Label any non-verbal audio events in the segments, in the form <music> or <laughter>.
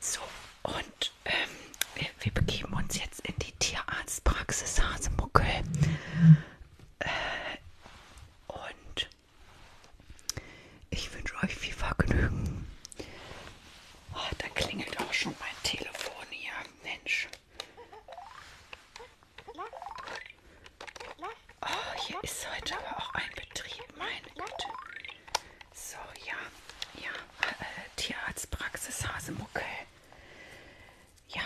So, und ähm, wir, wir begeben uns jetzt in die Tierarztpraxis Hasemuckel. Äh, und ich wünsche euch viel Vergnügen. Oh, da klingelt auch schon mein Telefon hier. Mensch. Oh, hier ist heute aber auch ein Betrieb, meine Güte. So, ja, ja, äh, Tierarztpraxis Hasemuckel. Ja,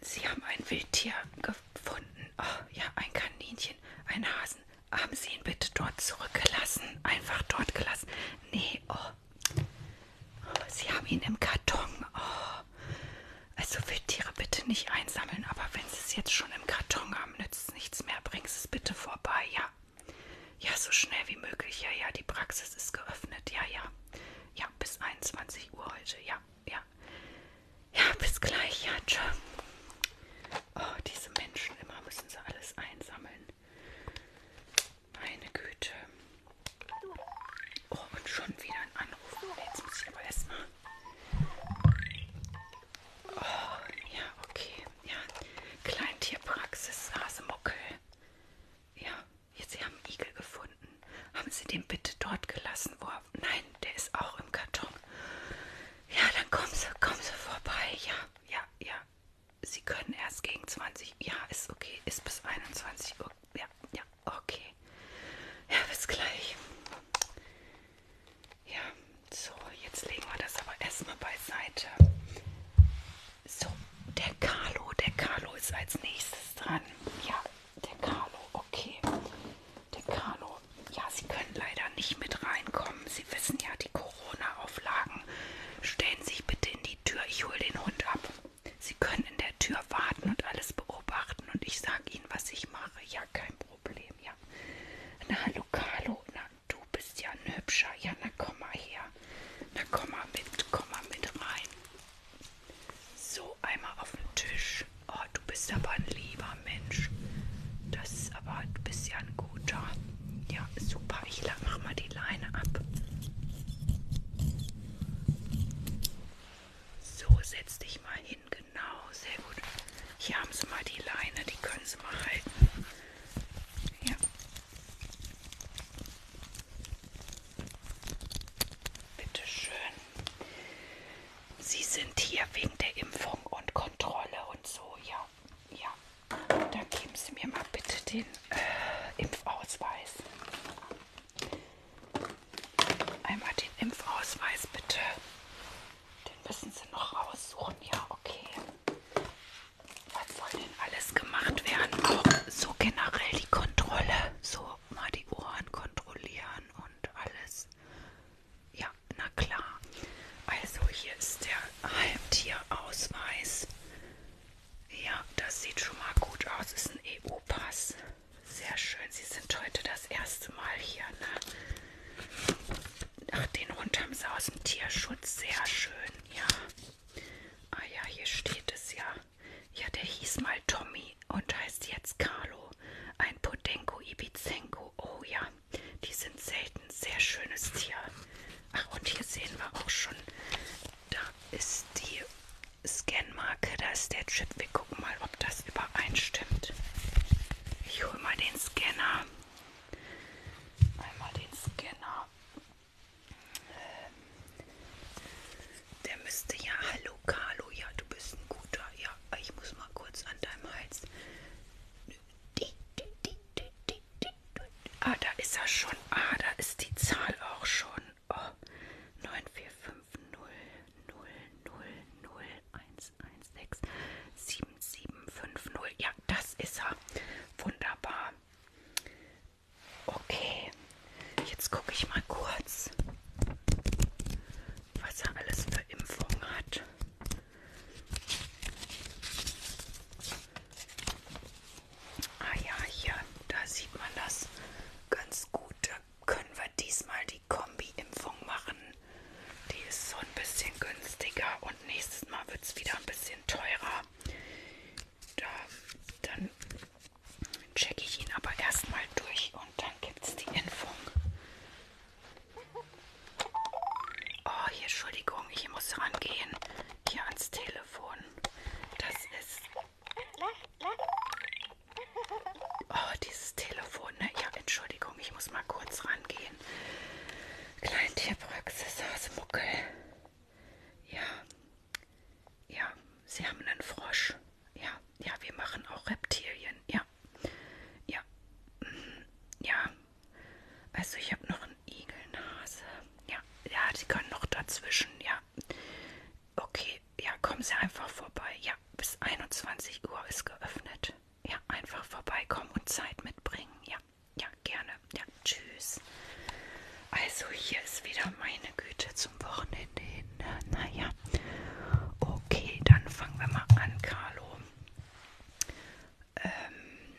Sie haben ein Wildtier gefunden. Oh, ja, ein Kaninchen, ein Hasen. Haben Sie ihn bitte dort zurückgelassen? Einfach dort gelassen? Nee, oh. oh Sie haben ihn im Karton. Oh. Also Wildtiere bitte nicht einsammeln, aber wenn sie es jetzt schon im Karton haben, nützt es nichts mehr. Bring es bitte vorbei, ja. Ja, so schnell wie möglich, ja, ja. Die Praxis ist geöffnet, ja, ja. Ja, bis 21 Uhr heute, ja, ja. Ja, bis gleich, ja, tschö. Oh, diese Menschen, immer müssen sie alles einsammeln. Meine Güte. Oh, und schon wieder ein anrufen. Aber jetzt muss ich aber erstmal. Oh, ja, okay. Ja, Kleintierpraxis Hasemuckel. Ja, jetzt, Sie haben einen Igel gefunden. Haben Sie den bitte dort gelassen? Wo er, nein, der ist auch im Karton. Ja, dann kommen Sie, kommen Sie vorbei. Ja, ja, ja. Sie können erst gegen 20. Ja, ist okay. Ist bis 21 Uhr. Ja, ja, Okay. Ja, bis gleich. Ja, so, jetzt legen wir das aber erstmal beiseite. So, der Carlo, der Carlo ist als nächstes dran. Ja, der Carlo, okay. Der Carlo, ja, Sie können leider nicht mit reinkommen. Sie wissen ja, die Corona-Auflagen. Stellen Sie sich bitte in die Tür, ich hole den Hund ab. Sie können in der Tür warten und alles beobachten und ich sage Ihnen, was ich mache. Ja, kein Problem, ja. Na, hallo, Carlo, na, du bist ja ein Hübscher. Ja, na, komm mal her. Na, komm mal mit, komm mal mit rein. So, einmal auf den Tisch. Oh, du bist aber ein lieber Mensch. Das ist aber, du bist ja ein guter. Ja, super. Ich mach mal die Leine ab. So, setz dich mal hin, genau, sehr gut. Hier haben sie mal die Leine, die können sie mal halten. Ja. Bitte schön. Sie sind hier wegen der Impfung und Kontrolle und so, ja. Ja. Dann geben Sie mir mal bitte den äh, Impfausweis. Einmal den Impfausweis bitte. Den müssen Sie noch raussuchen. Ja, okay. Was soll denn alles gemacht werden? Auch so generell die Kontrolle. So mal die Ohren kontrollieren und alles. Ja, na klar. Also hier ist der Halbtierausweis. Ja, das sieht schon mal gut aus. Ist ein EU-Pass. Sehr schön. Sie sind heute das erste Mal hier, ne? Ach, den Hund haben sie aus dem Tierschutz. Sehr schön, ja. Ah ja, hier steht es ja. Ja, der hieß mal Tommy und heißt jetzt Carlo. Ein Podenko Ibizenko. Oh ja, die sind selten. Sehr schönes Tier. Ach, und hier sehen wir auch schon, da ist die Scanmarke, da ist der Chip. Wir gucken mal, ob das übereinstimmt. Ich hole mal den Scanner. Einmal den Scanner. Ähm, der müsste ja. Hallo Carlo, ja, du bist ein guter. Ja, ich muss mal kurz an deinem Hals. Ah, da ist er schon. Ah, da ist die Zahl auch schon oh, 94500001167750. Ja, das ist er. Wunderbar. Okay, jetzt gucke ich mal kurz, was er alles für Impfungen hat. Ah ja, hier, da sieht man das ganz gut. Da können wir diesmal die Kombi-Impfung machen. Die ist so ein bisschen günstiger und nächstes Mal wird es wieder ein bisschen teurer. Da, dann checke ich ihn aber erstmal durch und dann gibt es die Impfung. Oh, hier, Entschuldigung, ich muss rangehen. Hier ans Telefon. Das ist Oh, dieses Telefon, ne? Ja, Entschuldigung, ich muss mal kurz rangehen. Kleintierpraxis Hasemuckel. Ja. Ja, Sie haben einen Frosch. Ja, ja, wir machen auch Reptilien. Ja. Ja. Mhm. Ja. Also ich habe noch einen Igelnase. Ja, ja, die können noch dazwischen. Ja, Okay, ja, kommen Sie einfach vorbei. Ja, bis 21 Uhr ist geöffnet. Ja, einfach vorbeikommen und Zeit mitbringen. Ja, ja, gerne. Ja, tschüss. Also hier ist wieder meine Güte zum Wochenende hin. Ne? Naja, okay, dann fangen wir mal an, Carlo. Ähm,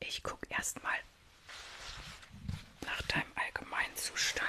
ich gucke erstmal nach deinem allgemeinen Zustand.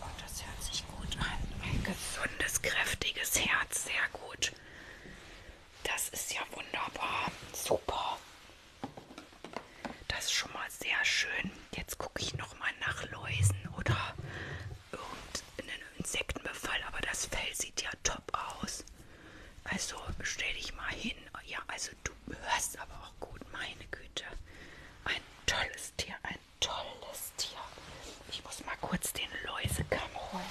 Oh, das hört sich gut an. Ein gesundes, kräftiges Herz. Sehr gut. Das ist ja wunderbar. Super. Das ist schon mal sehr schön. Jetzt gucke ich nochmal nach Läusen oder irgendeinen Insektenbefall. Aber das Fell sieht ja top aus. Also stell dich mal hin. Ja, also du hörst aber auch gut. Meine Güte. Ein tolles Tier. Ein tolles Tier. Ich muss mal kurz den Läusekamm holen.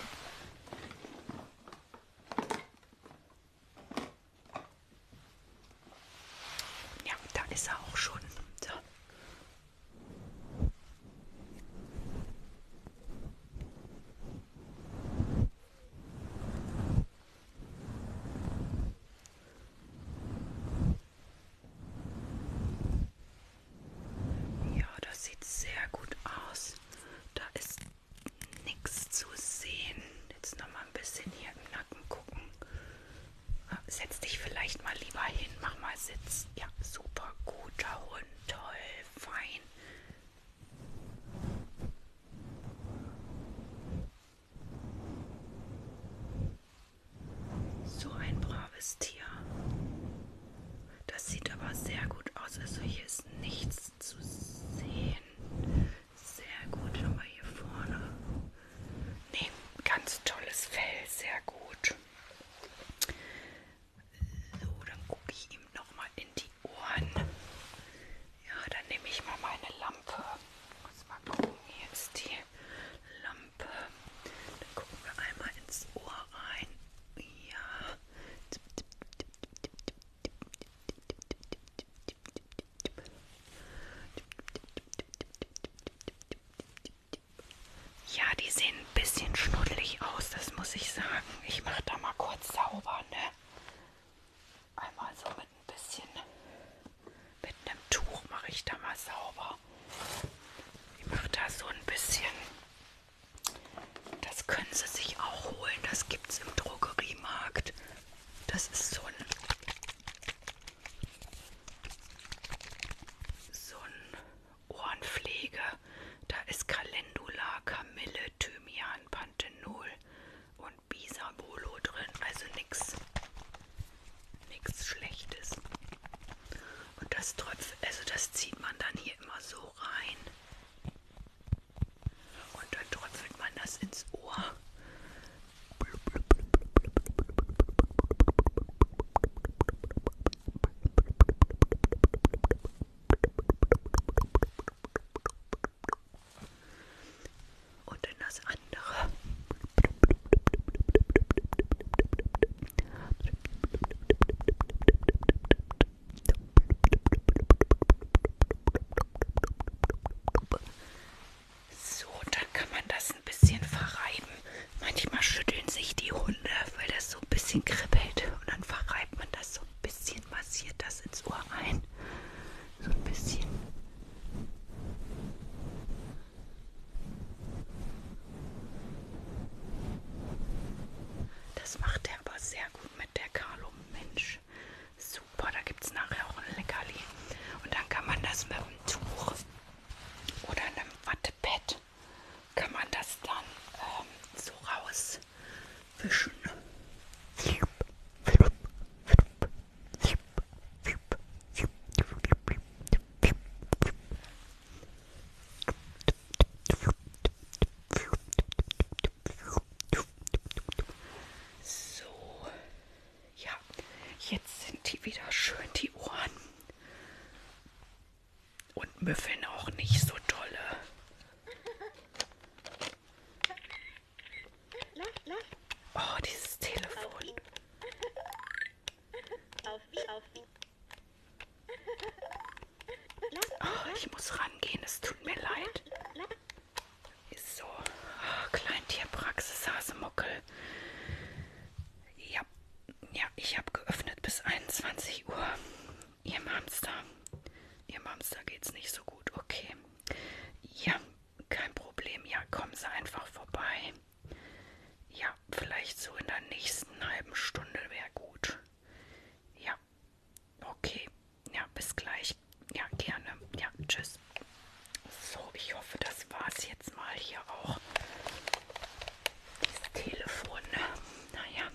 Ja, da ist er auch schon. So. Ja, das sieht sehr gut aus. Da ist nichts zu sehen. Jetzt noch mal ein bisschen hier im Nacken gucken. Ah, setz dich vielleicht mal lieber hin, mach mal Sitz. Ja, super, guter Hund, toll, fein. So ein braves Tier. Das sieht aber sehr gut aus. Also hier ist nichts zu sehen. Sehr gut. Nochmal hier vorne. Nee, ganz tolles Fell. Sehr gut. So, dann gucke ich ihm nochmal in die Ohren. Ja, dann nehme ich mal meine Lampe. Muss mal gucken. Hier ist die Lampe. Dann gucken wir einmal ins Ohr rein. Ja. Ja, die sehen ein bisschen schnuddelig aus, das muss ich sagen. Ich mache da mal kurz sauber, ne? Einmal so mit ein bisschen, mit einem Tuch mache ich da mal sauber. Ich mache da so ein bisschen. Das können Sie sich auch holen. Das gibt es im Drogeriemarkt. Das ist so ein. So ein Ohrenpflege. Da ist Calendula, Kamille, Thymian, Panthenol und Bisabolo drin. Also nichts nichts Schlechtes. Und das Tröpf, also das zieht man dann hier immer so rein. Und dann tröpfelt man das ins Ohr. Und in das andere. So, dann kann man das ein bisschen verreiben. Manchmal schütteln sich die Hunde, weil das so ein bisschen kribbelt. Und dann verreibt man das so ein bisschen, massiert das ins Ohr rein. So ein bisschen. Das macht er aber sehr gut mit der Carlo Mensch. Super, da gibt es nachher auch ein Leckerli. Und dann kann man das mit einem Tuch oder einem Wattepad, kann man das dann ähm, so rauswischen. So, ja, jetzt sind die wieder schön, die Ohren. Und müffeln auch nicht so dolle. Oh, dieses Telefon. Oh, ich muss rangehen, es tut mir leid. Ist so. Oh, Kleintierpraxis Hasemuckel. Ja, ja, ich habe geöffnet bis 21 Uhr. Ihrem Hamster. Ihrem Hamster geht's nicht so gut. Okay. Ja, kein Problem. Ja, kommen Sie einfach vorbei. Ja, vielleicht so in der nächsten halben Stunde wäre gut. Ja, okay. Ja, bis gleich. Ja, gerne. Ja, tschüss. So, ich hoffe, das war's jetzt mal hier auch. Das Telefon. Ne? Naja.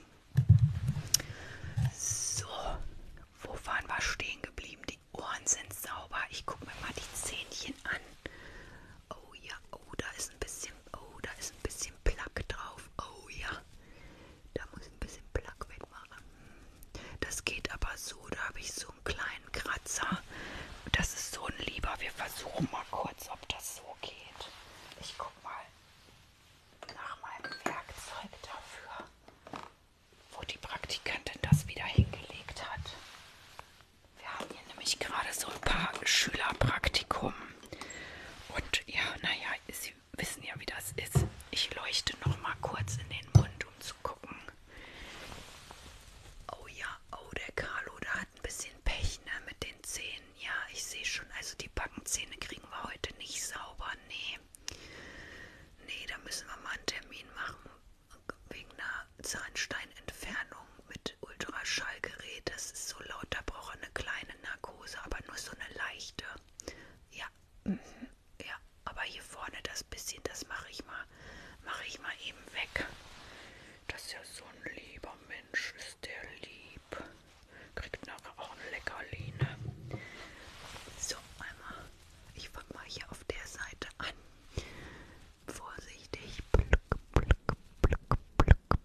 So, wo waren wir stehen geblieben? Die Ohren sind sauber. Ich gucke mir mal die Zähnchen an. Oh ja, oh, da ist ist ein bisschen, oh, da ist ein bisschen Plack drauf. Oh ja, da muss ich ein bisschen Plack wegmachen. Das geht aber so, da habe ich so einen kleinen Kratzer. Das ist so ein Lieber. Wir versuchen mal kurz, ob das so geht. Ich guck mal nach meinem Werkzeug dafür, wo die Praktikantin das wieder hingelegt hat. Wir haben hier nämlich gerade so ein paar Schülerpraktikum. Und ja, naja, Sie wissen ja, wie das ist. Ich leuchte noch mal kurz in den Mund, um zu gucken. Oh ja, oh, der Carlo, da hat ein bisschen Pech ne, mit den Zähnen. Ja, ich sehe schon, also die Backenzähne kriegen wir heute nicht sauber. Nee. Nee, da müssen wir mal einen Termin machen. Wegen einer Zahnsteinentfernung mit Ultraschallgerät. Das ist so laut, da braucht er eine kleine Narkose, aber nur so eine leichte. Ja, mhm. ja, aber hier vorne das bisschen, das mache ich mal, mache ich mal eben weg. Das ist ja so ein lieber Mensch, ist der lieb. Kriegt nachher auch eine Leckerline. So, einmal. Ich fange mal hier auf der Seite an vorsichtig pluck, pluck, pluck,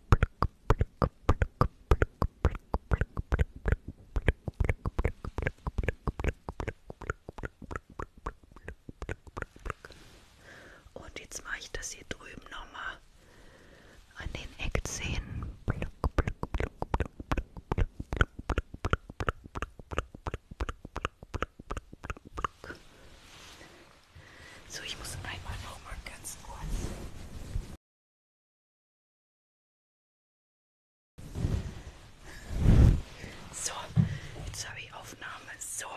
pluck, pluck, pluck, und jetzt mache ich das hier drüben nochmal an den Eckzähnen. So, ich muss einmal noch mal ganz kurz. So, jetzt habe ich Aufnahme. So,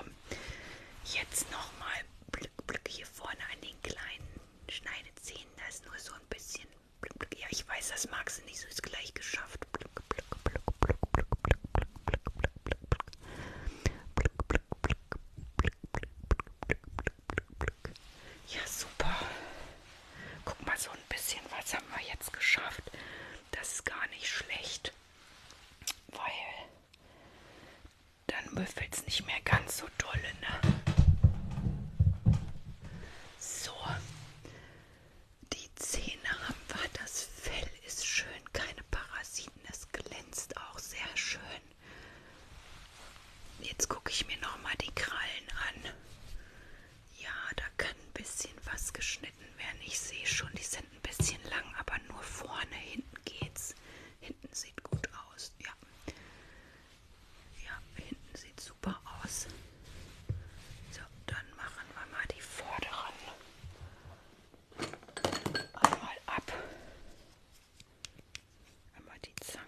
jetzt nochmal Blick, Blick hier vorne an den kleinen Schneidezähnen. Da ist nur so ein bisschen. Blick, Blick. Ja, ich weiß, das magst du nicht, so ist gleich geschafft. Blick, Blick, Blick, Blick, Blick, Blick, Blick, Blick, Blick, Blick, Blick. Ja, super. Guck mal, so ein bisschen was haben wir jetzt geschafft. Das ist gar nicht schlecht, weil dann müffelt es nicht mehr ganz so dolle, ne? So, die Zähne haben wir, das Fell ist schön, keine Parasiten. Es glänzt auch sehr schön. Jetzt gucke ich mir nochmal die Krallen an. Ja, da kann ein bisschen was geschnitten werden. Ich sehe schon, die sind ein bisschen lang, aber nur vorne, hinten geht's. Hinten sieht gut aus. Ja, ja hinten sieht super aus. So, dann machen wir mal die vorderen einmal ab. Einmal die Zange.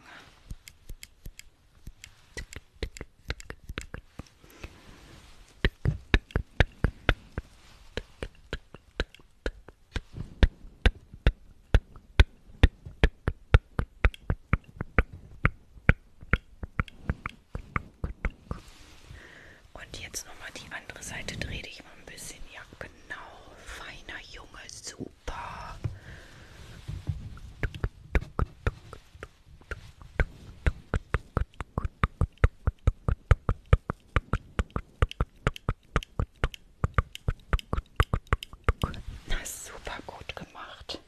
Und jetzt nochmal die andere Seite. Dreh dich mal ein bisschen. Ja, genau. Feiner Junge. Super. Na, super gut gemacht.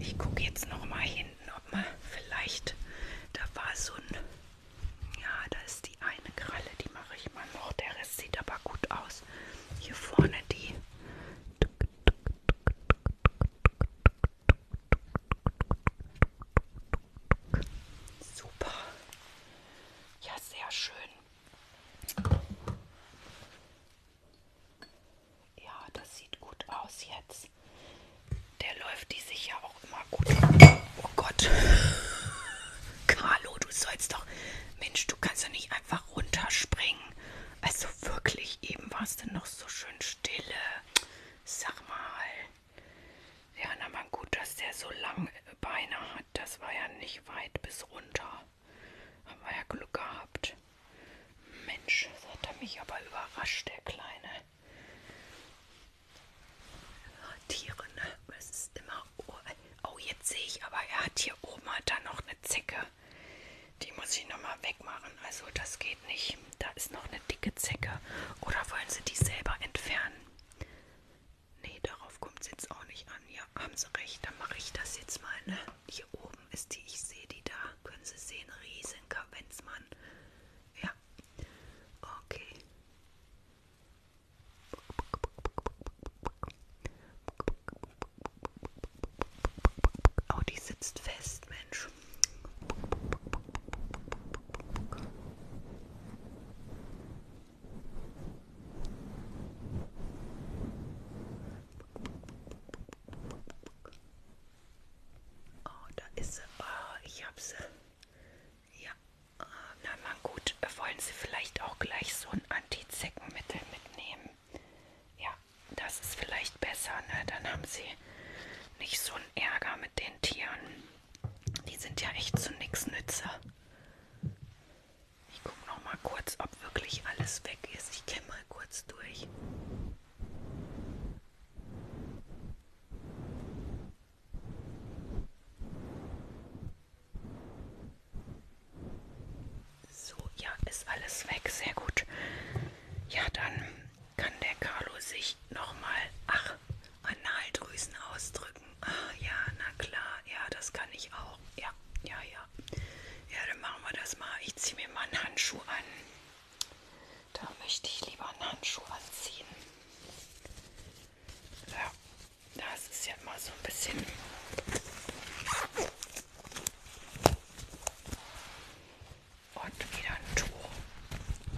Ich gucke jetzt noch mal hinten, ob man vielleicht da war so ein ja, da ist die eine Kralle, die mache ich mal noch. Der Rest sieht aber gut aus. Hier vorne die. Super. Ja, sehr schön. Ja, das sieht gut aus jetzt ist, der läuft die sich ja auch immer gut. Oh Gott. Carlo, du sollst doch. Mensch, du kannst ja nicht einfach runterspringen. Also wirklich, eben war es denn noch so schön stille. Sag mal. Ja, na man gut, dass der so lange Beine hat. Das war ja nicht weit bis runter. Haben wir ja Glück gehabt. Mensch, das hat er mich aber überrascht, der Kleine. Tiere, ne? Es ist immer. Oh, jetzt sehe ich, aber er hat hier oben hat er noch eine Zecke. Die muss ich nochmal wegmachen. Also, das geht nicht. Da ist noch eine dicke Zecke. Oder wollen sie die selber entfernen? Nee, darauf kommt es jetzt auch nicht an. Ja, haben sie recht. Dann mache ich das jetzt mal, ne? Hier oben ist die. Ich sehe die da. Können Sie sehen? Riesen Kavenzmann. Ja. Okay. Oh, die sitzt fest, Mensch. Oh, da ist sie. Oh, ich hab sie. Ja, äh, na man gut, wollen Sie vielleicht auch gleich so ein Antizeckenmittel mitnehmen? Ja, das ist vielleicht besser, ne? Dann haben Sie nicht so einen Ärger mit den Tieren. Die sind ja echt zu nix Nütze. Ich guck noch mal kurz, ob wirklich alles weg ist. Ich gehe mal kurz durch. So, ja, ist alles weg. Sehr gut. Ja, dann kann der Carlo sich nochmal, ach, Analdrüsen ausdrücken. Ah, ja, na klar. Ja, das kann ich auch. Ja, ja, ja. Ja, dann machen wir das mal. Ich ziehe mir mal einen Handschuh an. Da möchte ich lieber einen Handschuh anziehen. Ja, das ist ja immer so ein bisschen. Und wieder ein Tuch.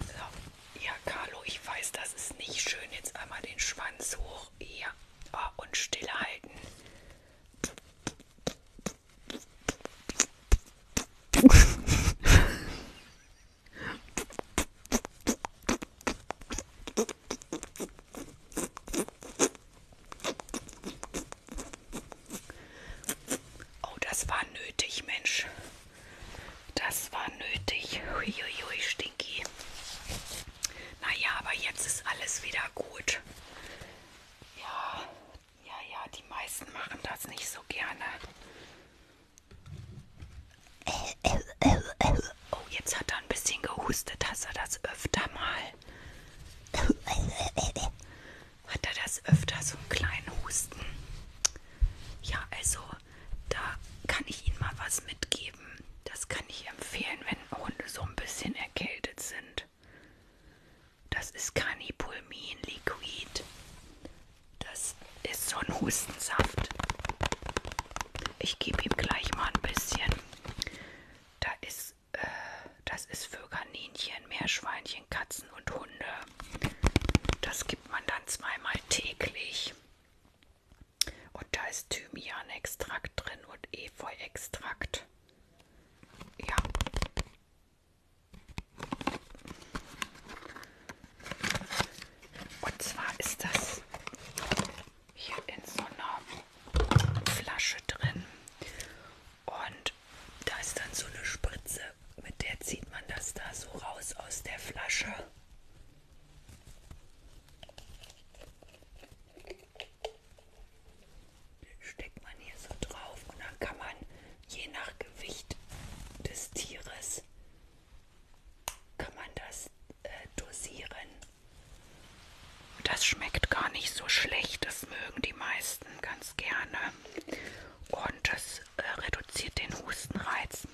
So. Ja, Carlo, ich weiß, das ist nicht schön. Jetzt einmal den Schwanz hoch. Ja. Oh, und stille halten. Oh, das war nötig, Mensch. Das war nötig. Huiuiui, stinky. Naja, aber jetzt ist alles wieder gut. Ja, ja, ja, die meisten machen das nicht so gerne. Oh, jetzt hat er ein bisschen gehustet. Hast er das öfter mal? Hat er das öfter, so einen kleinen Husten? Ja, also, da kann ich Ihnen mal was mitgeben. Das kann ich empfehlen, wenn Hunde so ein bisschen erkältet sind. Das ist Canipulmin Liquid. Das ist so ein Hustensaft. Ich gebe ihm gleich mal ein bisschen. Da ist, äh, das ist für Kaninchen, Meerschweinchen, Katzen und Hunde. Das gibt man dann zweimal täglich. Und da ist Thymianextrakt drin und Efeuextrakt. Ja. Und zwar ist das hier in so einer Flasche drin. Und da ist dann so eine Spritze, mit der zieht man das da so raus aus der Flasche. Steckt man hier so drauf und dann kann man je nach Gewicht des Tieres kann man das äh, dosieren. Das schmeckt gar nicht so schlecht, das mögen die meisten ganz gerne. Und das äh, reduziert den Hustenreiz.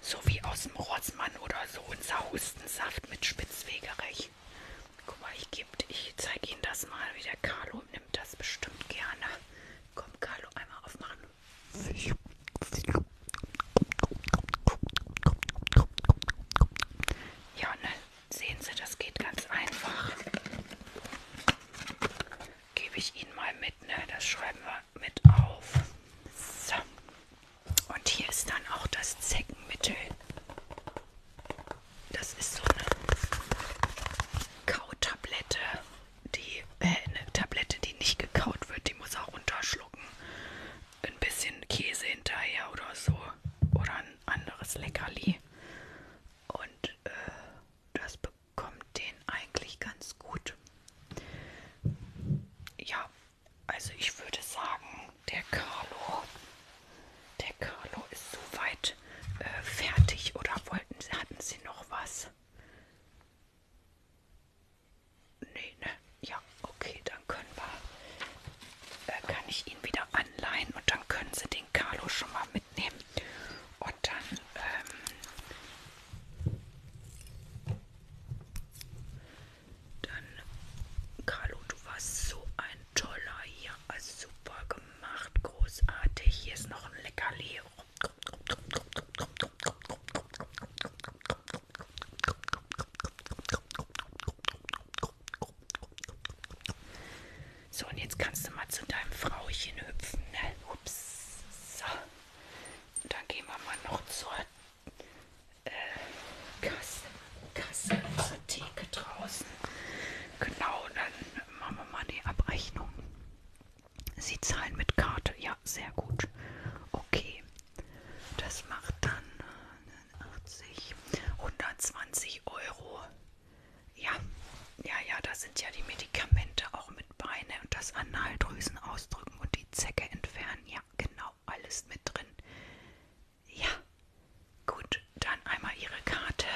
So wie aus dem Rotzmann oder so unser Hustensaft mit Spitzwegerich. Guck mal, ich, ich zeige Ihnen das mal, wie der Carlo nimmt das bestimmt gerne. Komm, Carlo, einmal aufmachen. Ja, ne? Sehen Sie, das geht ganz einfach. Gebe ich Ihnen mal mit, ne? Das schreiben wir mit auf. So. Und hier ist dann auch das Zeckenmittel. Das ist so eine Kautablette die äh, eine Tablette, die nicht gekaut wird, die muss auch runterschlucken. Ein bisschen Käse hinterher oder so. Oder ein anderes Leckerli. Und äh, das bekommt den eigentlich ganz gut. Ja, also ich würde sagen, der Carlo, der Carlo ist soweit äh, fertig. Oder wollten, hatten Sie noch was? Nee, ne? Ja, okay, dann können wir, äh, kann ich ihn wieder anleihen und dann können Sie den Carlo schon mal mitnehmen. Und dann, ähm, dann, Carlo, du warst so ein toller hier, also super gemacht, großartig. Hier ist noch ein Leckerli so, und jetzt kannst du mal zu deinem Frauchen hüpfen. Ne? Ups. So. Und dann gehen wir mal noch zur äh, Kasse, Kasse, zur Theke draußen. Genau, dann machen wir mal die Abrechnung. Sie zahlen mit Karte. Ja, sehr gut. Okay. Das macht dann 80, 120 Euro. Ja, ja, ja, da sind ja die Medikamente auch mit Beine und das Analdrüsen ausdrücken und die Zecke entfernen. Ja, genau, alles mit drin. Ja, gut, dann einmal Ihre Karte.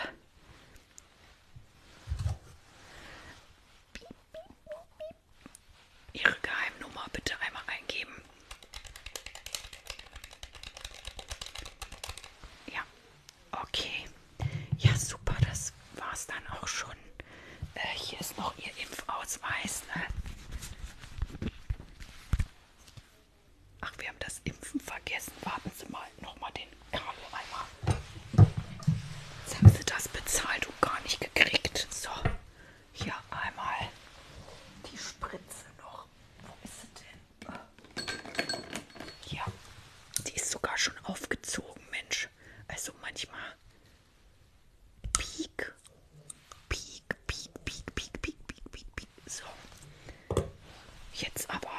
Ihre Geheimnummer bitte einmal eingeben. Ja, okay. Ja, super, das war's dann auch schon. Äh, hier ist noch Ihr Impfausweis. Ne? Ach, wir haben das Impfen vergessen. Warten Sie mal, nochmal den Kalu-Eimer. Jetzt haben sie das bezahlt und gar nicht gekriegt. So, hier einmal die Spritze noch. Wo ist sie denn? Ja, die ist sogar schon aufgezogen, Mensch. Also manchmal. Peak, peak, peak, peak, peak, peak, peak, peak, peak. So. Jetzt aber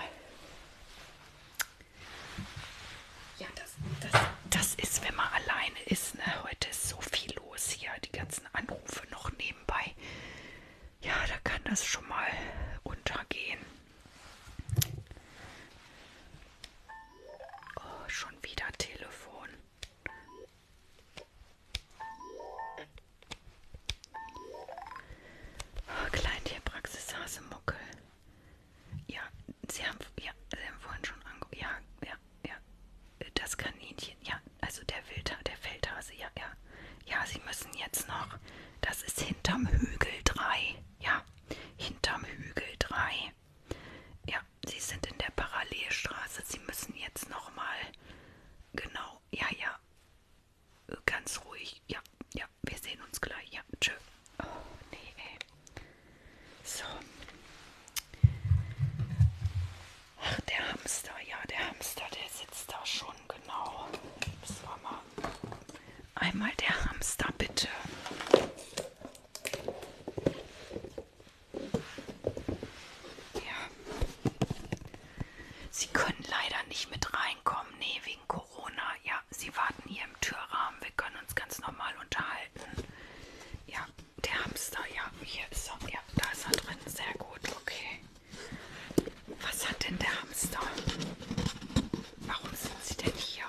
ja, das, das, das ist, wenn man alleine ist. Ne? Heute ist so viel los hier, die ganzen Anrufe noch nebenbei. Ja, da kann das schon mal untergehen. Oh, schon wieder Telefon. Oh, Kleintierpraxis Hasemuckel. Ja, sie haben, ja, sie haben vorhin schon angeguckt. Ja, ja, ja. Das Kaninchen, ja, also der Wildha der Feldhase, ja, ja. Ja, sie müssen jetzt noch. Das ist hinterm Hügel 3. Ja, hinterm Hügel 3. Ja, sie sind in der Parallelstraße. Sie müssen jetzt nochmal. Genau, ja, ja. Ganz ruhig, ja, ja, ja, wir sehen uns gleich. Ja, tschö. Oh, nee, ey. So. Ach, der Hamster. Ja, der Hamster, der sitzt da schon, genau. Das war mal. Einmal der Hamster, bitte. Ja. Sie können leider nicht mit reinkommen. Nee, wegen Corona. Ja, ja, Sie warten hier im Türrahmen. Wir können uns ganz normal unterhalten. Ja, der Hamster, ja, hier ist er. Ja, da ist er drin. Sehr gut, okay. Was hat denn der Hamster? Warum sind Sie denn hier?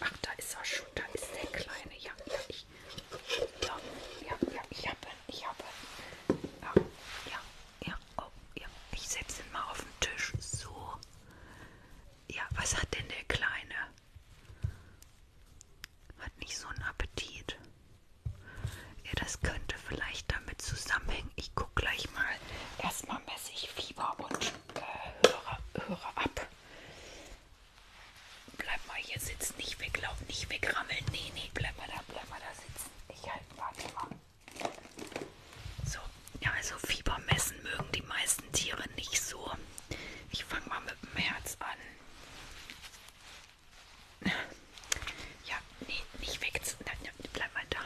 Ach, da ist er schon. Da ist der Kleine. Ja, ja, ich. So, ja, ja, ich habe ihn. Ich habe ihn. Ja, ja, ja, oh, ja. Ich setze ihn mal auf den Tisch. So. Ja, was hat denn der Kleine? Hat nicht so einen Appetit. Ja, das könnte vielleicht damit zusammenhängen. Ich gucke gleich mal. Erstmal messe ich Fieber und äh, höre, höre ab. Bleib mal hier sitzen, nicht weglaufen, nicht wegrammeln. Nee, nee, bleib mal da, bleib mal da sitzen. Ich halte mal. So, ja, also Fieber messen mögen die meisten Tiere nicht so. Ich fange mal mit dem Herz an. Ja, nee, nicht weg. Nein, nein, bleib mal da.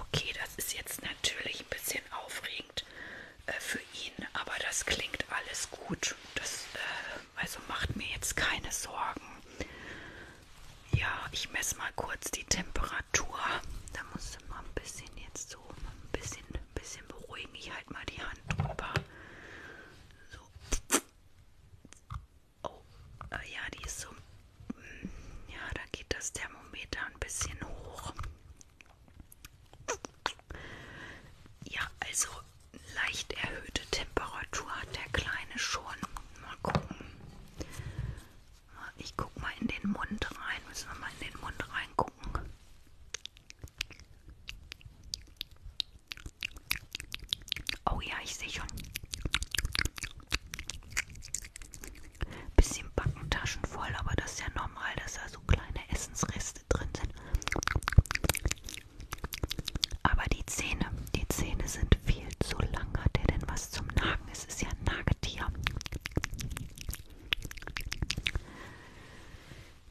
Okay, das ist jetzt natürlich ein bisschen aufregend äh, für ihn, aber das klingt alles gut. Das äh, also macht mir jetzt keine Sorgen. Ja, ich messe mal kurz die Temperatur. Da muss du mal ein bisschen jetzt so ein bisschen, ein bisschen beruhigen. Ich halte mal die Hand drüber. So. Oh, äh, ja, die ist so ja, da geht das Thermometer ein bisschen hoch. Ja, also leicht erhöhte Temperatur hat der Kleine schon. Mal gucken. Ich guck mal in den Mund rein. Müssen wir mal in den Mund reingucken. Oh ja, ich sehe schon. Bisschen Backentaschen voll, aber das ist ja normal, dass da so kleine Essensreste drin sind. Aber die Zähne, die Zähne sind viel zu lang. Hat er denn was zum Nagen? Es ist ja ein Nagetier.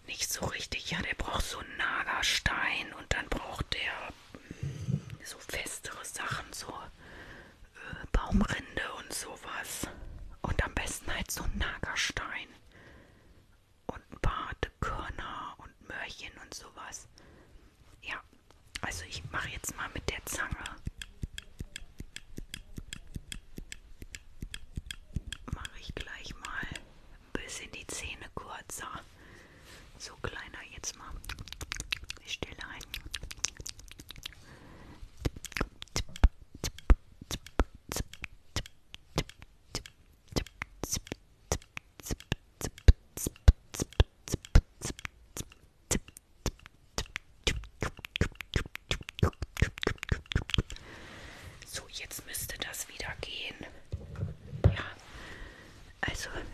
Nicht so richtig. Ja, der braucht so einen Nagerstein und dann braucht der so festere Sachen, so äh, Baumrinde und sowas. Und am besten halt so ein Nagerstein. Und Bartekörner und Möhrchen und sowas. Ja, also ich mache jetzt mal mit der Zange. Mache ich gleich mal ein bisschen die Zähne kurzer. So kleiner jetzt mal. Ich stelle ein. So, jetzt müsste das wieder gehen. Ja, also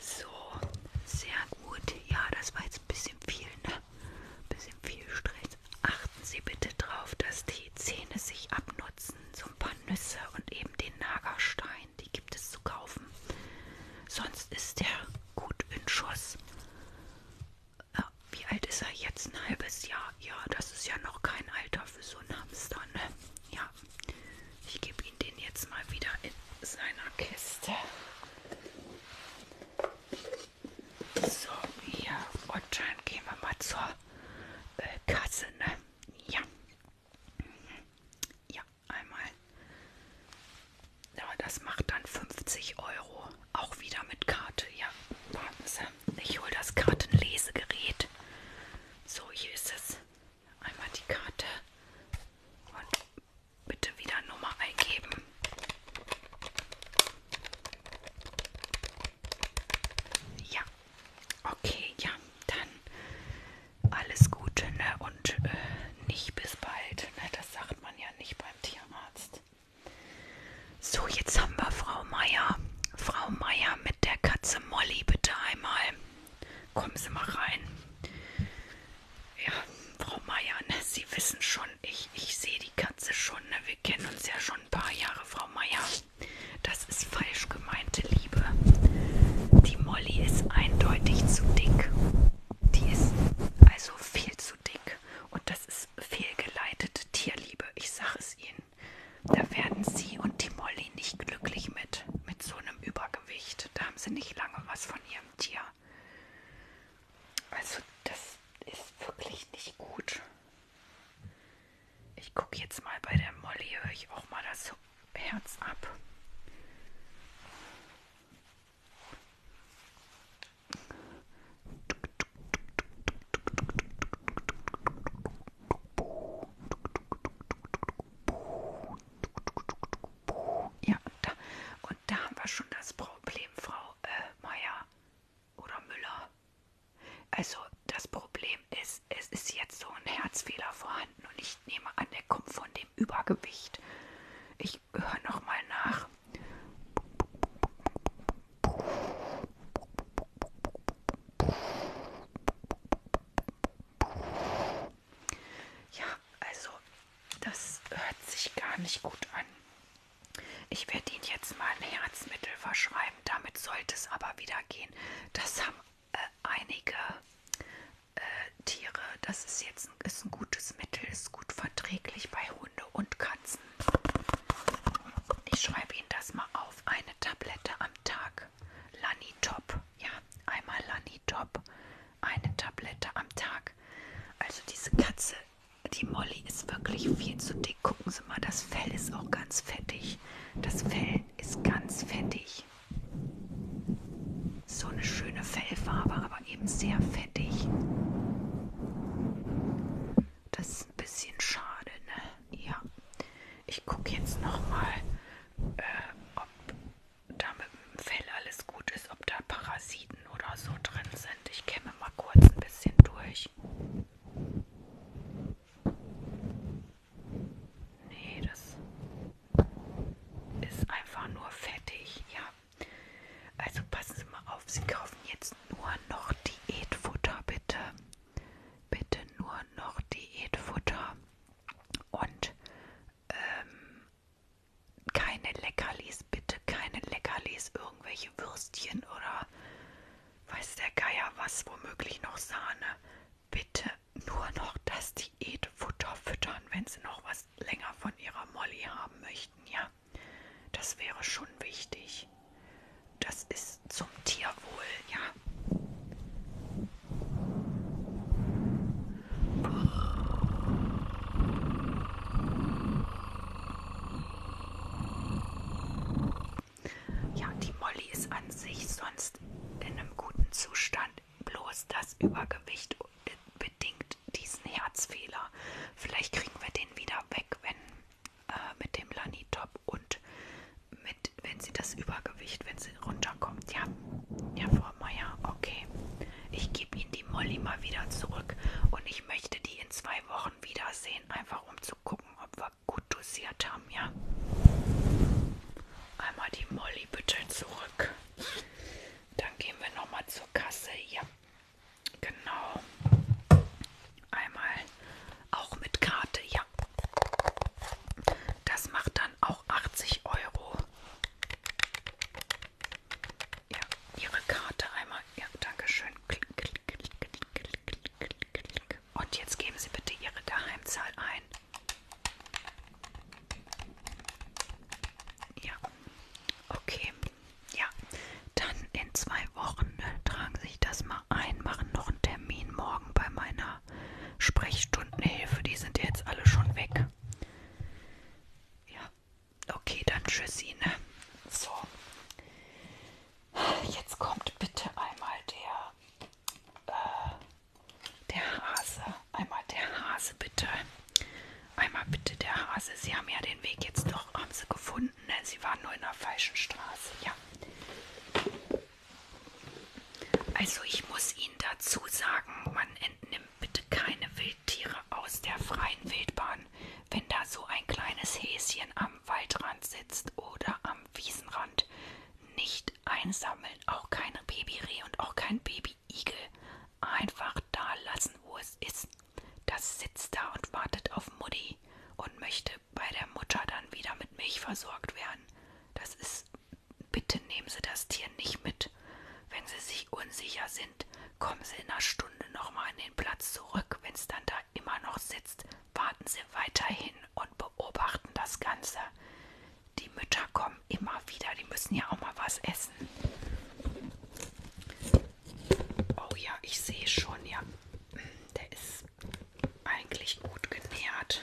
So, sehr gut. Ja, das war jetzt ein bisschen viel, ne? Ein bisschen viel Stress. Achten Sie bitte drauf, dass die Zähne sich abnutzen. So ein paar Nüsse und eben den Nagerstein. Die gibt es zu kaufen. Sonst ist der gut in Schuss. Äh, wie alt ist er jetzt? Ein halbes Jahr. Ja, das ist ja noch kein Alter für so einen Hamster, ne? Ja. Ja, ich gebe Ihnen den jetzt mal wieder in seiner Kiste. So, hier. Und dann gehen wir mal zur äh, Kasse, ne? Ja. Ja, einmal. Ja, das macht dann 50 Euro. Auch wieder mit Karte. Ja, warten Sie. Ich hole das Kartenlesegerät. So, hier ist es. Einmal die Karte und bitte wieder Nummer eingeben. Ja, okay, ja, dann alles Gute ne? und äh, nicht bis bald. Ne? Das sagt man ja nicht beim Tierarzt. So, jetzt haben wir Frau Meier. Frau Meier mit der Katze Molly bitte einmal. Kommen Sie mal rein. Ja, Frau Meier, ne, Sie wissen schon, ich, ich sehe die Katze schon. Ne? Wir kennen uns ja schon ein paar Jahre, Frau Meier. Das ist falsch gemeinte Liebe. Die Molly ist eindeutig zu dick. Die ist also viel zu dick. Und das ist fehlgeleitete Tierliebe. Ich sage es Ihnen. Da werden Sie und die Molly nicht glücklich mit, mit so einem Übergewicht recht. Da haben sie nicht lange was von ihrem Tier. Also das ist wirklich nicht gut. Ich gucke jetzt mal bei der Molly, höre ich auch mal das Herz ab. Ja, und da, und da haben wir schon das Problem, Frau äh, Meier oder Müller. Also das Problem ist, es ist jetzt so ein Herzfehler vorhanden und ich nehme an, der kommt von dem Übergewicht. Ich höre nochmal nach. Ja, also das hört sich gar nicht gut an. Ich werde Ihnen jetzt mal ein Herzmittel verschreiben. Damit sollte es aber wieder gehen. Das haben äh, einige äh, Tiere. Das ist jetzt ein, ist ein gutes Mittel, ist gut verträglich bei Hunde und Katzen. Ich schreibe Ihnen das mal auf. Eine Tablette am Tag. Lanitop. Ja, einmal Lanitop. Minitop eine Tablette am Tag. Also diese Katze, die Molly ist wirklich viel zu dick. Gucken Sie mal, das Fell ist auch ganz fettig. Das Fell ist ganz fettig. So eine schöne Fellfarbe, aber eben sehr fettig. Das ist ein bisschen schade, ne? Ja. Ich gucke jetzt nochmal, äh, ob da mit dem Fell alles gut ist, ob da Parasiten oder so drin sind. Ich kämme mal kurz ein bisschen durch. Nee, das ist einfach nur fettig, ja. Also passen Sie mal auf, Sie kaufen jetzt nur noch Diätfutter, bitte. Bitte nur noch Diätfutter. Und ähm, keine Leckerlis, bitte keine Leckerlis, irgendwelche Würstchen oder weiß der Geier was, womöglich noch Sahne. Bitte nur noch das Diätfutter füttern, wenn sie noch was länger von ihrer Molly haben möchten, ja. Das wäre schon wichtig. Das ist zum Tierwohl, ja. Ja, die Molly ist an sich sonst in einem guten Zustand, bloß das Übergewicht bedingt diesen Herzfehler. Vielleicht kriegen wir den wieder weg, wenn äh, mit dem Lanitop und mit, wenn sie das Übergewicht, wenn sie runterkommt. Ja, ja, Frau Meier, okay. Ich gebe Ihnen die Molly mal wieder zurück und ich möchte die in zwei Wochen wiedersehen, einfach um zu gucken, ob wir gut dosiert haben, ja. Einmal die Molly bitte zurück. Dann gehen wir nochmal zur Kasse. Ja, genau. Einmal auch mit Karte, ja. Das macht dann waren auch 80 Euro. Ja, Ihre Karte einmal. Ja, Dankeschön. Klick, klick, klick, klick, klick, klick. Und jetzt geben Sie bitte Ihre Geheimzahl ein. Ja, okay. Ja, dann in zwei Wochen ne, tragen Sie sich das mal ein, machen noch einen Termin morgen bei meiner meiner Sprechstundenhilfe. Die sind jetzt alle schon weg. Ja, okay, dann tschüssi, ne? So. Jetzt kommt bitte einmal der, äh, der Hase. Einmal der Hase, bitte. Einmal bitte der Hase. Sie haben ja den Weg jetzt doch, haben sie gefunden, ne? Sie waren nur in der falschen Straße, ja. Also ich muss Ihnen dazu sagen, man entnimmt bitte keine Wildtiere aus der freien Wildbahn, wenn da so ein kleines Häschen am Waldrand sitzt oder am Wiesenrand. Nicht einsammeln, auch keine Babyreh und auch kein Babyigel. Einfach da lassen, wo es ist. Das sitzt da und wartet auf Mutti und möchte bei der Mutter dann wieder mit Milch versorgt werden. Das ist Bitte nehmen Sie das Tier nicht mit. Wenn Sie sich unsicher sind, kommen Sie in einer Stunde nochmal an den Platz zurück. Wenn es dann da immer noch sitzt, warten Sie weiterhin und beobachten das Ganze. Die Mütter kommen immer wieder, die müssen ja auch mal was essen. Oh ja, ich sehe schon, ja, der ist eigentlich gut genährt.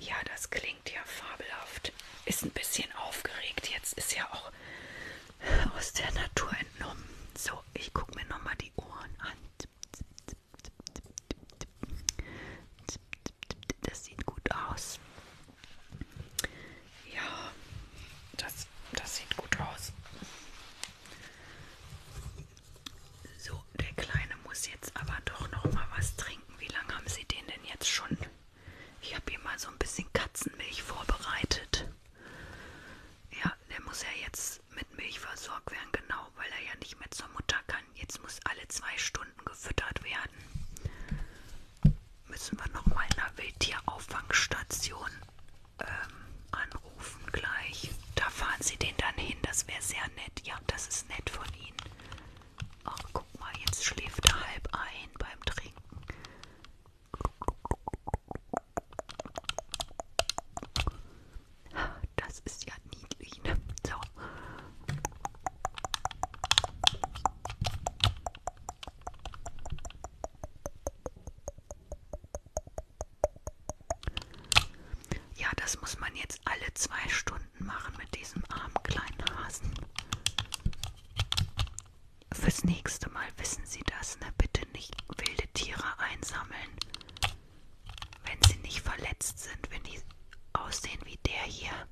Ja, das klingt ja fabelhaft. Ist ein bisschen aufgeregt. Jetzt ist ja auch aus der Natur entnommen. So, ich gucke mir nochmal die Ohren an. Das sieht gut aus. Ja, das, das sieht gut aus. So, der Kleine muss jetzt aber doch noch mal was trinken. Wie lange haben Sie den denn jetzt schon? Ich habe ihm mal so ein bisschen Katzenmilch vorbereitet. Ja, der muss ja jetzt mit Milch versorgt werden, genau, weil er ja nicht mehr zur Mutter kann. Jetzt muss alle zwei Stunden gefüttert werden. Müssen wir noch mal in einer Wildtierauffangstation ähm, anrufen gleich. Da fahren sie den dann hin, das wäre sehr nett. Ja, das ist nett von ihnen. Ach, guck mal, jetzt schläft er halb ein beim Trinken. Das ist ja niedlich, ne? So. Ja, das muss man jetzt alle zwei Stunden machen mit diesem armen kleinen Hasen. Fürs nächste Mal wissen Sie das, ne? Bitte nicht wilde Tiere einsammeln, wenn sie nicht verletzt sind, wenn die aussehen wie der hier.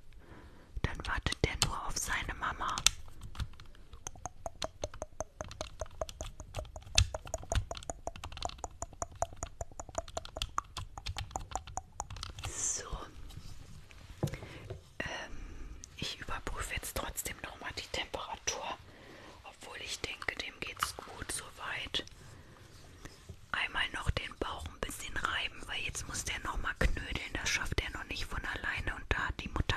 Dann wartet der nur auf seine Mama. So. Ähm, ich überprüfe jetzt trotzdem nochmal die Temperatur, obwohl ich denke, dem geht's gut soweit. Einmal noch den Bauch ein bisschen reiben, weil jetzt muss der nochmal knödeln. Das schafft er noch nicht von alleine und da hat die Mutter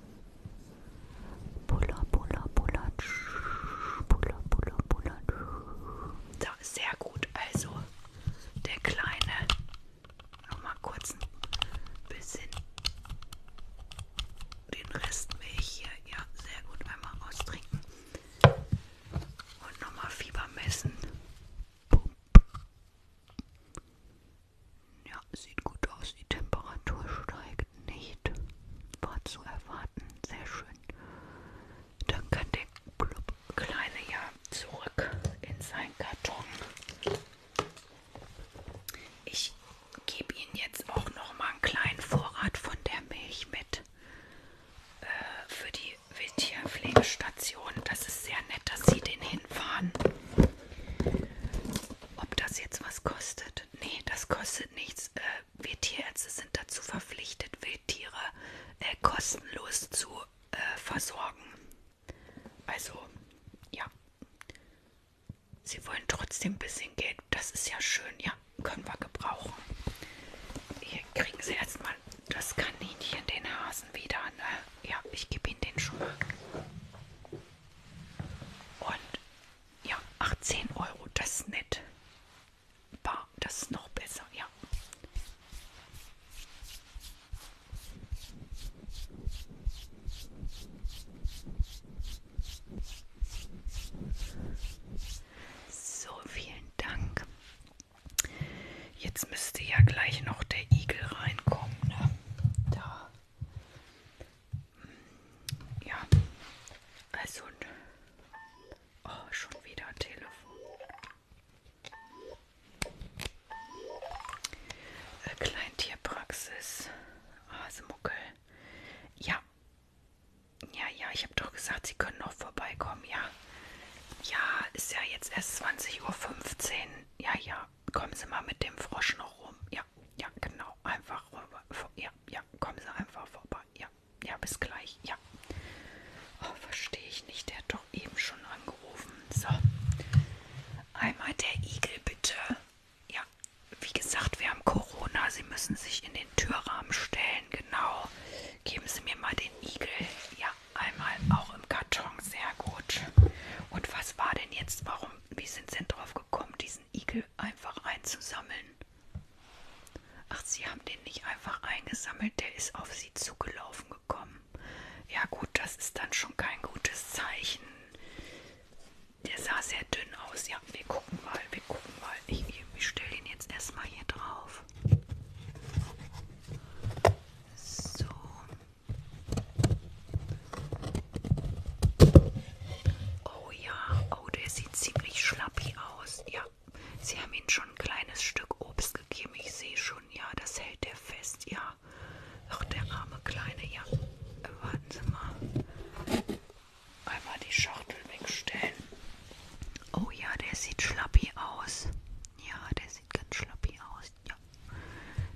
Puller, puller, puller. Puller, puller, puller. So, sehr gut. Also, der kleine. Nochmal kurz ein bisschen den Rest Milch hier. Ja, sehr gut. Einmal austrinken. Und nochmal Fieber messen. Pump. Ja, sieht gut aus. Die Temperatur steigt nicht. War zu erwarten. Sehr schön. Dann kann der Blub Kleine ja zurück in seinen Karton. Ich gebe Ihnen jetzt auch noch mal einen kleinen Vorrat von der Milch mit äh, für die Wildtierpflegestation. Das ist sehr nett, dass Sie den hinfahren. Ob das jetzt was kostet? Nee, das kostet nichts. Äh, wir Tierärzte sind dazu verpflichtet, Wildtiere äh, kostenlos zu äh, versorgen. Also, ja. Sie wollen trotzdem ein bisschen Geld. Das ist ja schön. Ja, können wir gebrauchen. Hier kriegen Sie erstmal das Kaninchen, den Hasen wieder. Ne? Ja, ich gebe Ihnen den schon mal. Und ja, 18 Euro, das ist nett. Bar, das ist noch besser, ja. So, vielen Dank. Jetzt müsste ja gleich noch der Igel reinkommen. Ne? Da. Ja, also oh, schon wieder ein Telefon. Äh, Kleintierpraxis, Hasemuckel. Ah, ja, ja, ja, ich habe doch gesagt, Sie können noch vorbeikommen, ja. Ja, ist ja jetzt erst 20.15 Uhr. Ja, ja, kommen Sie mal mit dem Frosch noch rum. Ja, ja, genau. Einfach rüber. Ja, ja, kommen Sie einfach vorbei. Ja, ja, bis gleich. Ja. Oh, verstehe ich nicht. Der hat doch eben schon angerufen. So. Einmal der Igel, bitte. Ja, wie gesagt, wir haben Corona. Sie müssen sich in den Türrahmen stellen. Genau. Geben Sie mir mal den Igel. Ja, einmal auch im Karton. Sehr gut. Und was war denn jetzt? Warum? warum, wie sind sie denn drauf gekommen, diesen Igel einfach einzusammeln? Ach, sie haben den nicht einfach eingesammelt, der ist auf sie zugelaufen gekommen. Ja gut, das ist dann schon kein gutes Zeichen. Der sah sehr dünn aus. Ja, wir gucken mal, wir gucken mal. Ich, ich stelle den jetzt erstmal hier drauf. So. Oh ja, oh, der sieht ziemlich schlappi aus. Ja, sie haben ihm schon ein kleines Stück Obst gegeben. Ich sehe schon, ja, das hält der fest, ja. Ach, der arme Kleine, ja. Warten Sie mal. Einmal die Schachtel wegstellen. Oh ja, der sieht schlappi aus. Ja, der das sieht ganz schlappi aus. Ja.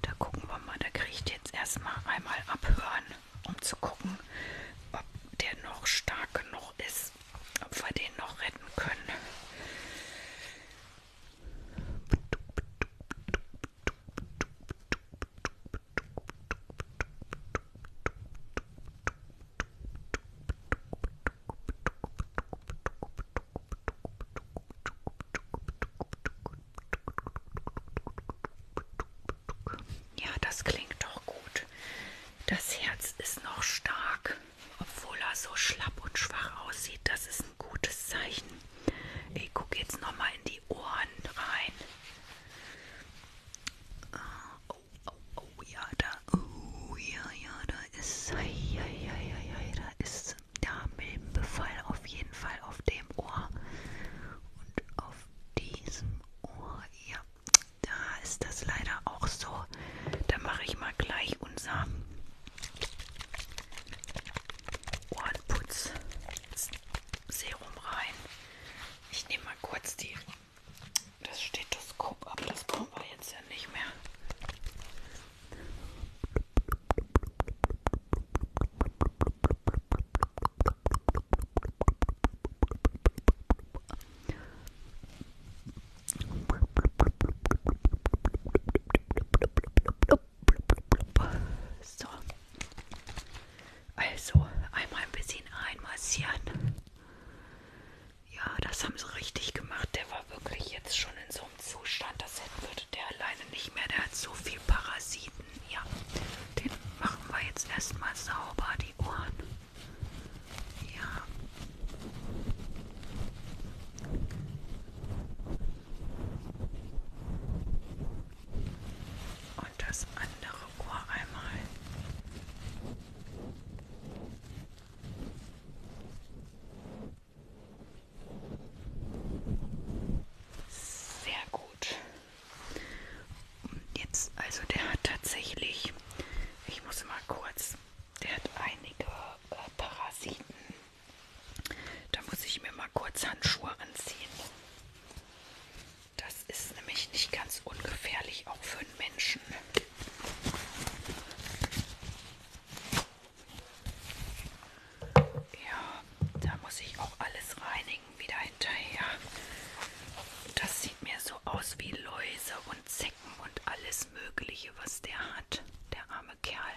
Da gucken wir mal. Da kriege ich jetzt erstmal einmal abhören, um zu gucken, ob der noch stark genug ist. Ob wir den noch retten können. Ja, das klingt doch gut. Das Herz ist noch stark, obwohl er so schlapp und schwach aussieht. Das ist ein gutes Zeichen. Ich gucke jetzt nochmal in die Ohren rein. Ah, oh, oh, oh, ja, da. Oh, ja, ja, da ist. Ja, ja, ja, ja, da ist da Milbenbefall auf jeden Fall auf dem Ohr und auf diesem Ohr. Ja, da ist das leider auch so. Da mache ich mal gleich unser Ohrenputz-Serum rein. Ich nehme mal kurz die, das Stethoskop ab, das brauchen wir jetzt ja nicht mehr. So. Also einmal ein bisschen einmassieren. Ja, das haben sie richtig gemacht. Der war wirklich jetzt schon in so so einem Zustand, das hätten würde der alleine nicht mehr. Der hat so viel Parasiten. Ja, den machen wir jetzt erstmal sauber, die Ohren. Ja. Und das andere Ohr einmal. Sehr gut. Und jetzt, also der hat tatsächlich, ich muss mal kurz, der hat einige äh, Parasiten. Da muss ich mir mal kurz Handschuhe anziehen. Das ist nämlich nicht ganz ungefährlich, auch für einen Menschen. Ja, da muss ich auch alles reinigen wieder hinterher. Das sieht mir so aus wie Läuse und Zecken und alles Mögliche, was der hat. Der arme Kerl.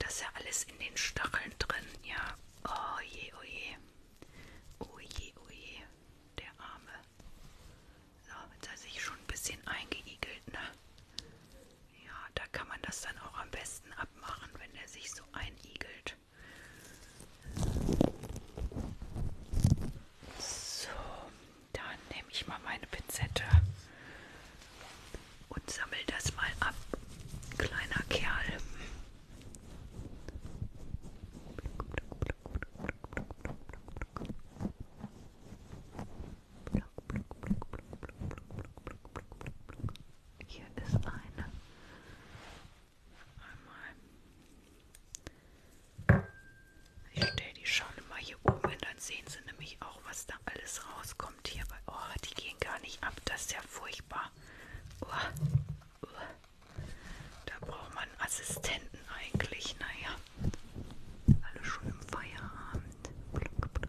Das ist ja alles in den Stacheln drin, ja. Oh je, oh je. Oh je, oh je. Der arme. So, jetzt hat er sich schon ein bisschen eingeigelt, ne? Ja, da kann man das dann auch am besten abmachen, wenn er sich so einigelt. So, dann nehme ich mal meine Pinzette und sammle das mal ab, kleiner Kerl. Ja, hier ist eine. Einmal. Ich stelle die schon immer hier oben hin, dann sehen sie nämlich auch, was da alles rauskommt hier. Bei, oh, die gehen gar nicht ab, das ist ja furchtbar. Oh, oh. Da braucht man einen Assistenten eigentlich, naja. Alle schon im Feierabend. Pluck, pluck,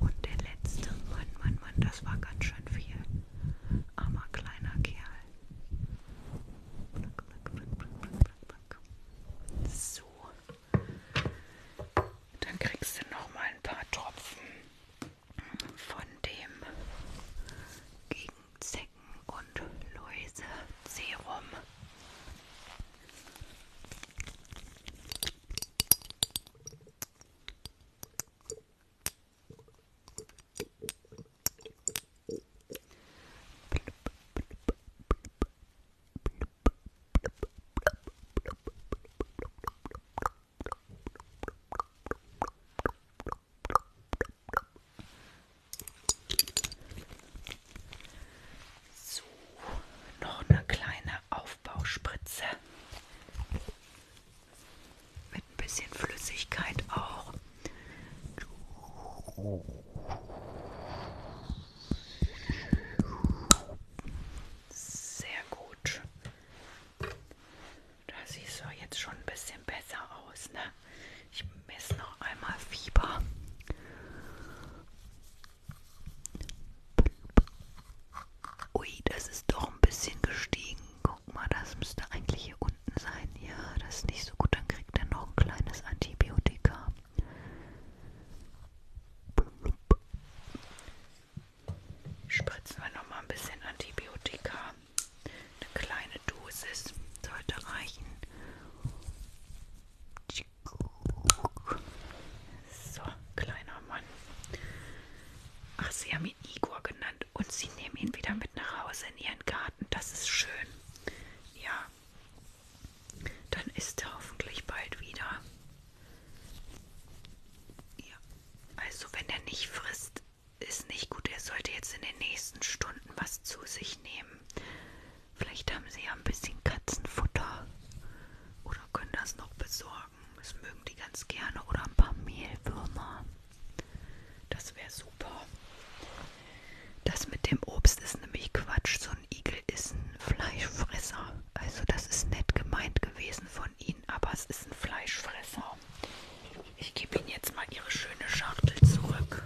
Und der letzte, Mann, Mann, Mann, das war ganz schön viel. Armer kleiner Kerl. Pluck, pluck, pluck, pluck, pluck pack, pack. So. Dann kriegst du noch mal ein paar Tropfen von dem gegen Zecken und Läuse Serum. So. So, noch eine kleine Aufbauspritze mit ein bisschen Flüssigkeit auch. Sehr gut. Da siehst du jetzt schon ein bisschen besser aus, ne? Ich messe noch einmal Fieber. Ui, das ist doch ein bisschen gestiegen. Guck mal, das müsste eigentlich hier unten sein. Ja, das ist nicht so gut. Dann kriegt er noch ein kleines Antibiotika. Spritzen wir nochmal ein bisschen Antibiotika. Eine kleine Dosis sollte reichen. So, kleiner Mann. Ach, sie haben ihn Igor genannt und sie nehmen ihn wieder mit nach Hause in ihren Garten. Das ist schön. Ja, dann ist er hoffentlich bald wieder. Ja. Also wenn er nicht frisst, ist nicht gut. Er sollte jetzt in den nächsten Stunden was zu sich nehmen. Vielleicht haben sie ja ein bisschen Katzenfutter. Oder können das noch besorgen. Das mögen die ganz gerne. Oder ein paar Mehlwürmer. Das wäre super. Das mit dem Obst ist nämlich Quatsch. So ein Igel ist ein Fleischfresser. Also das ist nett gemeint gewesen von Ihnen, aber es ist ein Fleischfresser. Ich gebe Ihnen jetzt mal Ihre schöne Schachtel zurück.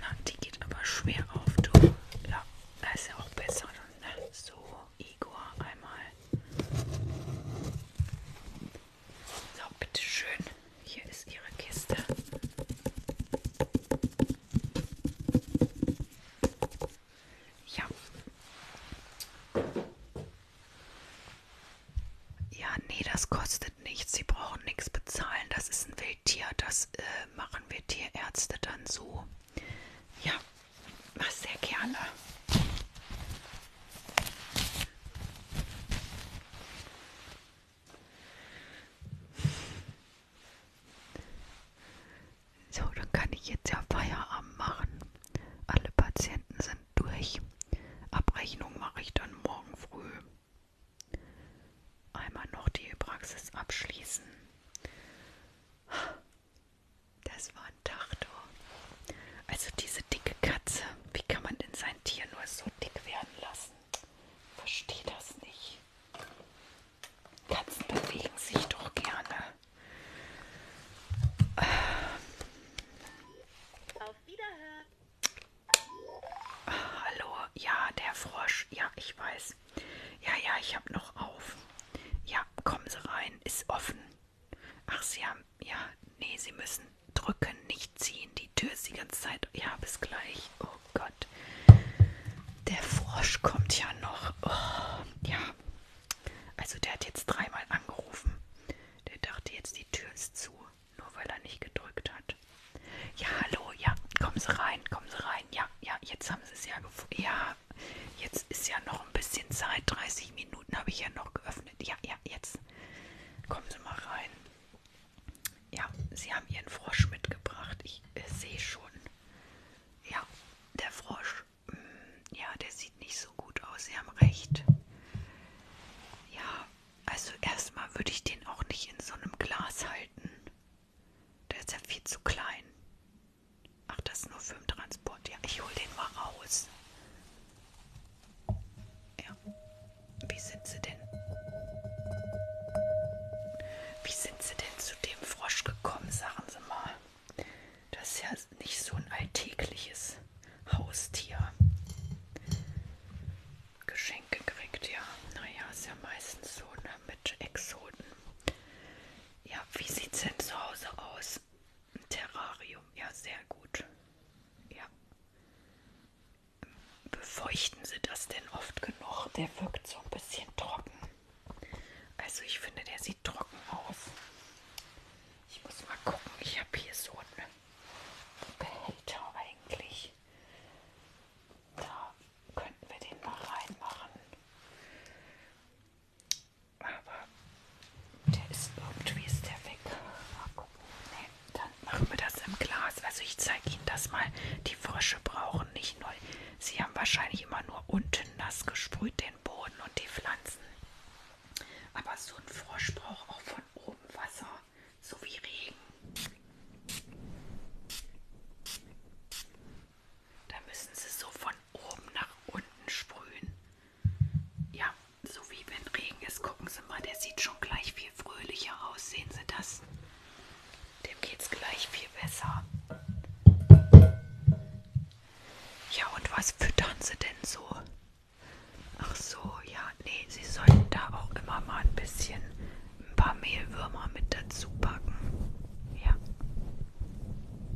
Na, die geht aber schwer auf, du. Ja, das ist ja auch besser. Ne? So. Igor einmal. So, bitteschön. Hier ist Ihre Kiste. Ja. Ja, nee, das kostet nichts. Sie brauchen nichts bezahlen. Das ist ein Wildtier. Das äh, machen wir Tierärzte dann so. Ja, Mach sehr gerne. So, dann kann ich jetzt ja Feierabend machen. Alle Patienten sind durch. Abrechnung mache ich dann morgen früh. Einmal noch die Praxis abschließen. Das war ein Tachtor. Also diese dicke Katze, wie kann man denn sein Tier nur so dick werden lassen? Verstehe das nicht. Katzen bewegen sich doch gerne. Auf Wiederhören. Ah, hallo, ja, der Frosch. Ja, ich weiß. Ja, ja, ich habe noch auf. Ja, kommen Sie rein. Ist offen. Ach, Sie haben, ja, nee, Sie müssen drücken, nicht ziehen. Die Tür ist die ganze Zeit. Ja, bis gleich. Oh Gott. Der Frosch kommt ja noch. Oh, ja. Also der hat jetzt dreimal angerufen. Der dachte jetzt, die Tür ist zu, nur weil er nicht gedrückt hat. Ja, hallo, ja, kommen Sie rein, kommen Sie rein. Ja, ja, jetzt haben Sie es ja gefunden. Ja, jetzt ist ja noch ein bisschen Zeit. 30 Minuten habe ich ja noch geöffnet geöffnet. Ja, ja, jetzt. Kommen Sie mal rein. Ja, Sie haben Ihren Frosch mitgebracht. Ich äh, sehe schon. Ja, der Frosch. Mh, mm, ja, der sieht nicht so gut aus. Sie haben recht. Ja, also erstmal würde ich den auch nicht in so einem Glas halten. Der ist ja viel zu klein. Ach, das ist nur für den Transport. Ja, ich hole den mal raus. Ja. Wie sind sie denn? Wie sind sie denn zu dem Frosch gekommen, sagen Sie mal? Das ist ja nicht so ein alltägliches Haustier. Geschenke gekriegt, ja. Naja, ist ja meistens so, ne? Mit Exoten. Ja, wie sieht es denn zu Hause aus? das Terrarium. Ja, sehr gut. Ja. Befeuchten Sie das denn oft genug? Der wirkt so ein bisschen trocken. Also ich finde, der sieht trocken aus. Ich muss mal gucken. Ich habe hier so einen Behälter eigentlich. Da könnten wir den mal reinmachen. Aber der ist irgendwie ist der weg. Nee, dann machen wir das im Glas. Also ich zeige Ihnen das mal. Die Frösche brauchen nicht nur. Sie haben wahrscheinlich immer nur unten nass gesprüht, den Boden und die Pflanzen. Aber so ein Frosch braucht auch von oben Wasser, so wie Regen. Da müssen sie so von oben nach unten sprühen. Ja, so wie wenn Regen ist, gucken Sie mal, der sieht schon gleich viel fröhlicher aus. Sehen Sie das? Dem geht's gleich viel besser. Ja, und was füttern Sie denn so? Ach so, ja, nee, Sie sollten da auch immer mal ein bisschen ein paar Mehlwürmer mit dazu packen. Ja,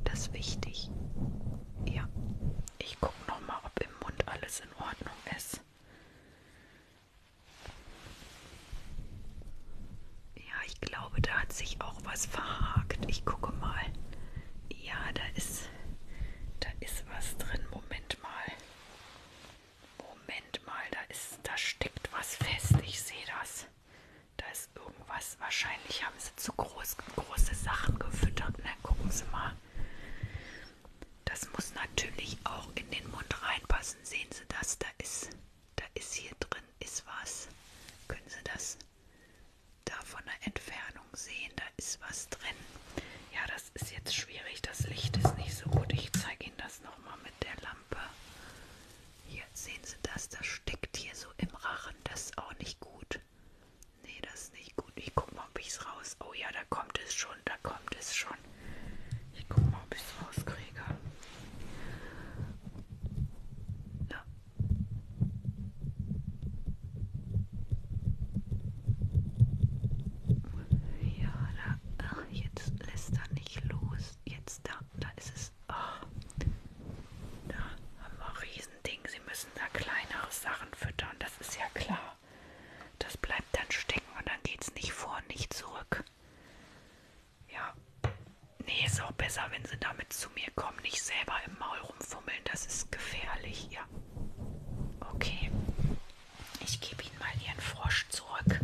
das ist wichtig. Ja. Ich gucke nochmal, ob im Mund alles in Ordnung ist. Ja, ich glaube, da hat sich auch was verhakt. Ich gucke mal. Ja, da ist, da ist was drin. Moment mal. Moment mal, da ist, da steckt was fest. Ich sehe das. Da ist irgendwas. Wahrscheinlich haben sie sind so groß, große Sachen gefüttert. Und dann gucken Sie mal. Das muss natürlich auch in den Mund reinpassen. Sehen Sie das? Da ist, da ist hier drin, ist was. Können Sie das da von der Entfernung sehen? Da ist was drin. Ja, das ist jetzt schwierig. Das Licht ist nicht so gut. Ich zeige Ihnen das nochmal mit der Lampe. Hier sehen Sie das? Das steckt hier so im Rachen. Das ist auch nicht gut. Nee, das ist nicht gut. Ich guck mal, ob ich es raus. Oh ja, da kommt es schon. Da kommt es schon. Ich guck mal, ob ich es rauskriege. Ja. Ja, da. Ach, jetzt lässt er nicht los. Jetzt da. Da ist es. Ach. Da haben wir riesen. Riesending. Sie müssen da kleinere Sachen füttern, das ist ja klar. Das bleibt dann stecken und dann geht es nicht vor, nicht zurück. Ja. Nee, ist auch besser, wenn sie damit zu mir kommen, nicht selber im Maul rumfummeln. Das ist gefährlich, ja. Okay. Ich gebe Ihnen mal Ihren Frosch zurück.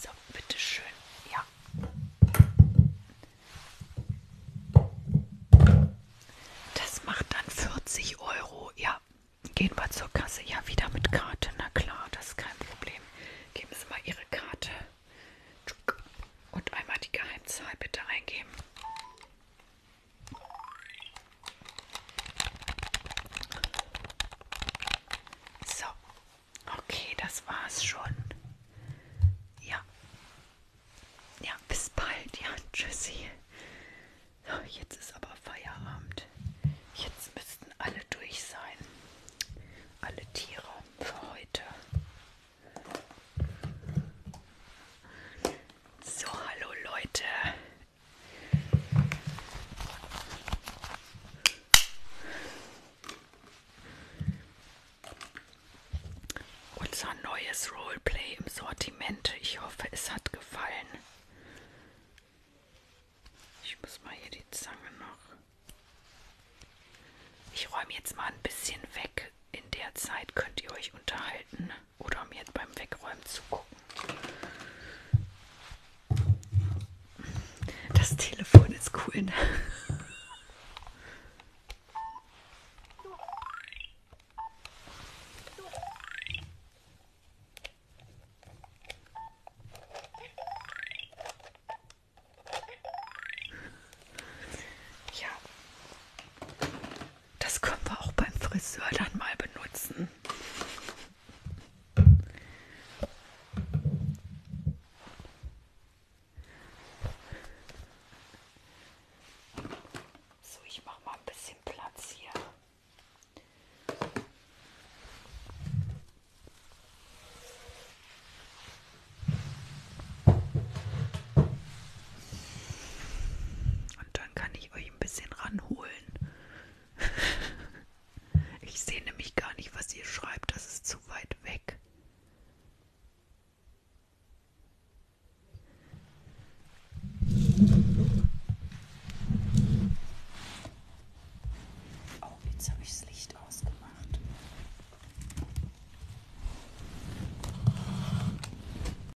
So, bitteschön. Ja. Das macht dann 40 Euro. Ja. Gehen wir zur Kasse. Ja, wieder mit Karte. Na klar, das ist kein Problem. Geben Sie mal Ihre Karte. Und einmal die Geheimzahl bitte eingeben. So, okay, das war's schon. Ja. Ja, bis bald. Ja, tschüssi. So, jetzt ist aber Feierabend. Jetzt müssten alle durch sein. Alle Tiere für heute. So, hallo Leute. Unser neues Roleplay im Sortiment. Ich hoffe, es hat gefallen. Ich muss mal hier die Zange noch. Ich räume jetzt mal ein bisschen weg. In der Zeit könnt ihr euch unterhalten oder mir beim Wegräumen zugucken. Das Telefon ist cool. Ne? Ja. Das können wir auch beim Friseur dann mal benutzen. So, ich mache mal ein bisschen Platz hier. Und dann dann kann ich euch ein bisschen ranholen. <laughs> ich sehe nämlich gar nicht, was ihr schreibt, das ist zu weit weg. Oh, jetzt habe ich das Licht ausgemacht.